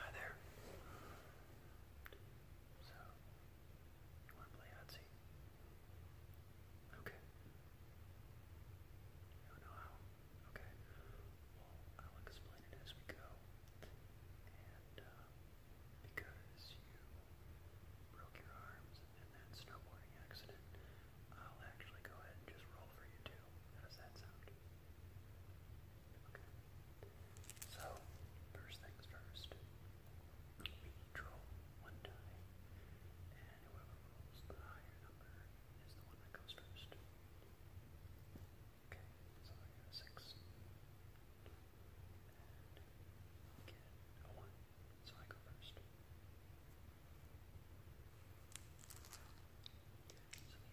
Hi there. So, you want to play Yahtzee? Okay. You don't know how? Okay. Well, I'll explain it as we go. And, uh, because you broke your arms in that snowboarding accident, I'll actually go ahead and just roll for you, too two. How So, first things first. We draw one die, and whoever rolls the higher number is the one that goes first. Okay, so I got six. And get a one, so I go first. So the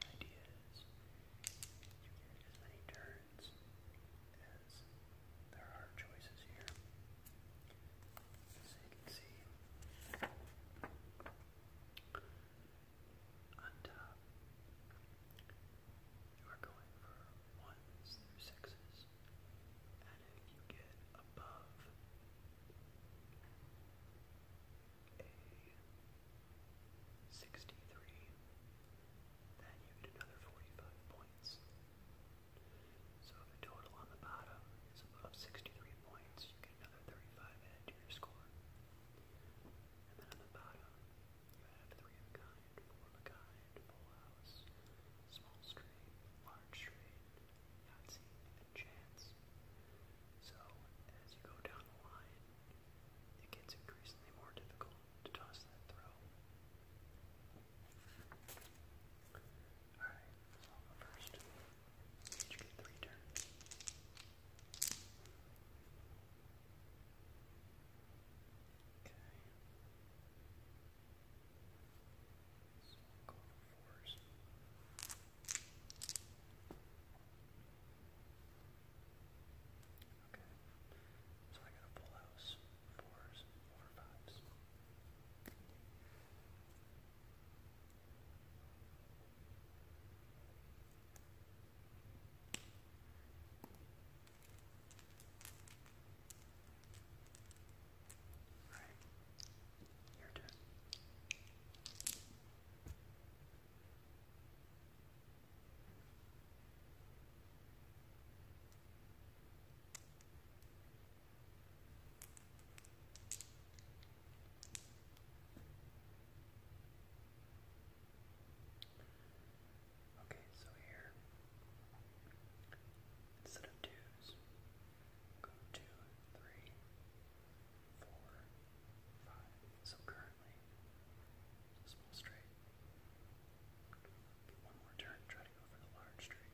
idea is you get as many turns as there are choices here. As you can see, on top, you are going for ones through sixes, and you get above a 63, then you get another 45 points. So if the total on the bottom is above 63 points, you get another 35 added to your score. And then on the bottom, you have three of a kind, four of a kind, full house, small straight, large straight, Yahtzee, and So, as you go down the line, it gets increasingly more difficult to toss that throw. Alright, so first. Each get three turns. Okay fours. Okay, so I got a full house, fours over fives. All right, your turn. Okay, so here, instead of twos, go two, three, four, five. So currently, small straight. Get one more turn, try to go for the large straight.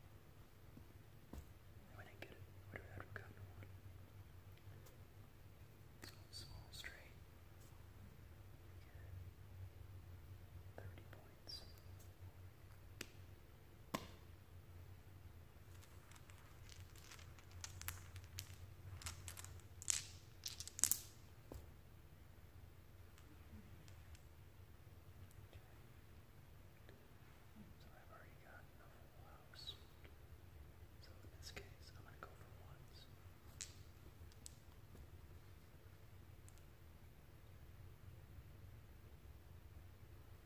If I didn't get it, I would have gotten one. So small straight. 30 points. So I've already got a full house. So in this case, I'm going to go for ones. All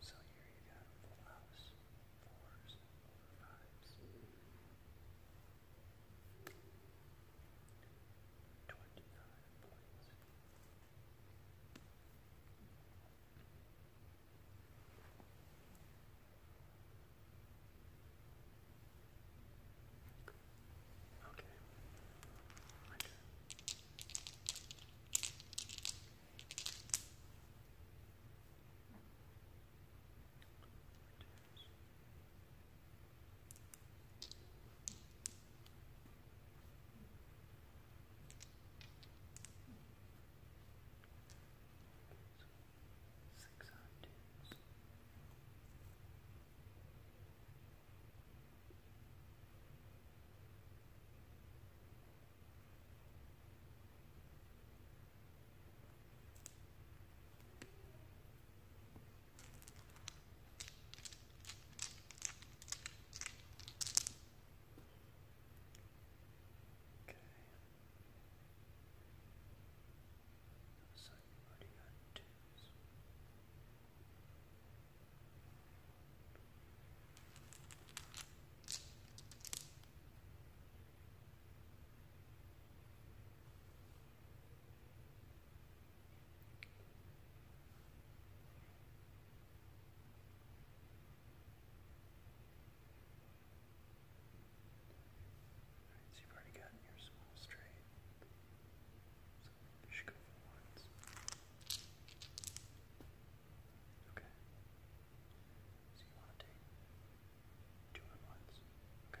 so here you got full house, fours over fives. Twenty-nine points. Okay. My turn. Six octaves. Seven Okay. So you've already got Alright, so you've already gotten your small straight. So you should go for Okay. So you want to take Two at Okay.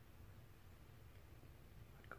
I'd Okay.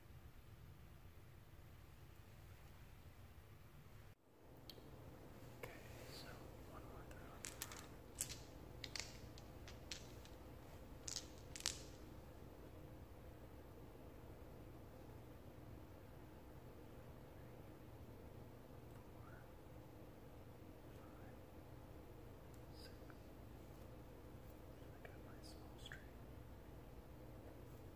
Okay, so one more throw. Four, five, six. I got my small string. Seven,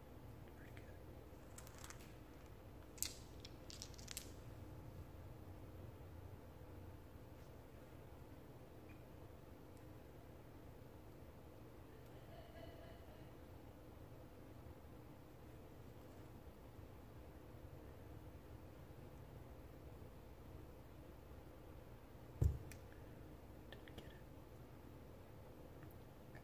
Pretty good. get it.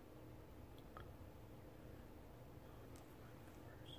Just go for twenty on chance.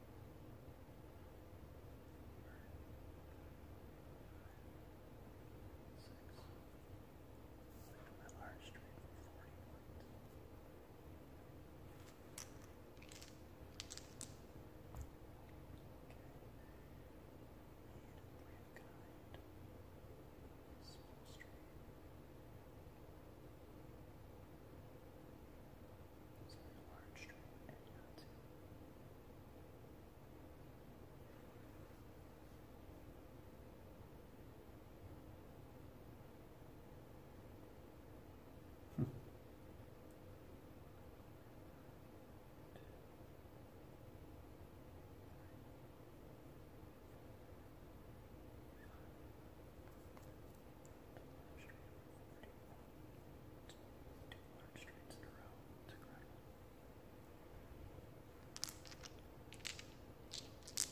My large trade for 40 points. Okay. Need three of kind. Small stream. Three so there's a large string and Yahtzee. Hmm. Five, Two large streets in a row. It's incredible. Go for my, my kind. Not.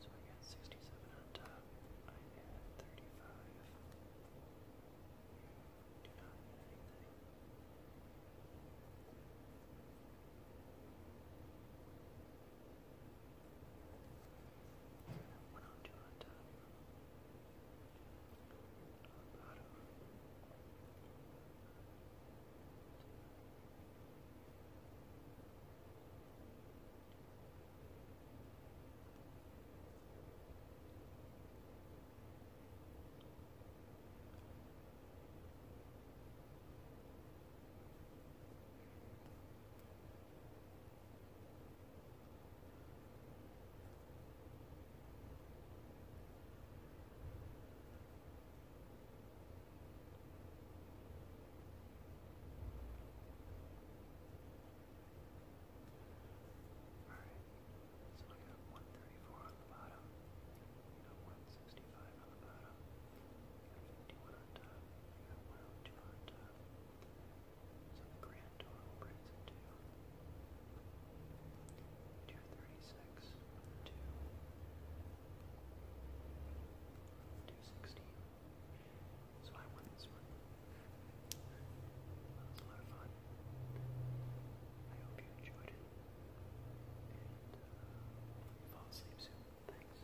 So I got 67 on top. I had 35. Do not need anything. All one on two on top. On bottom. One Alright, so we got 134 on the bottom, we got 165 on the bottom, we got 51 on top, we got 102 on top, so grand total brings it to 236, So I won this one. That was a lot of fun. I hope you enjoyed it. And uh, fall asleep soon. Thanks.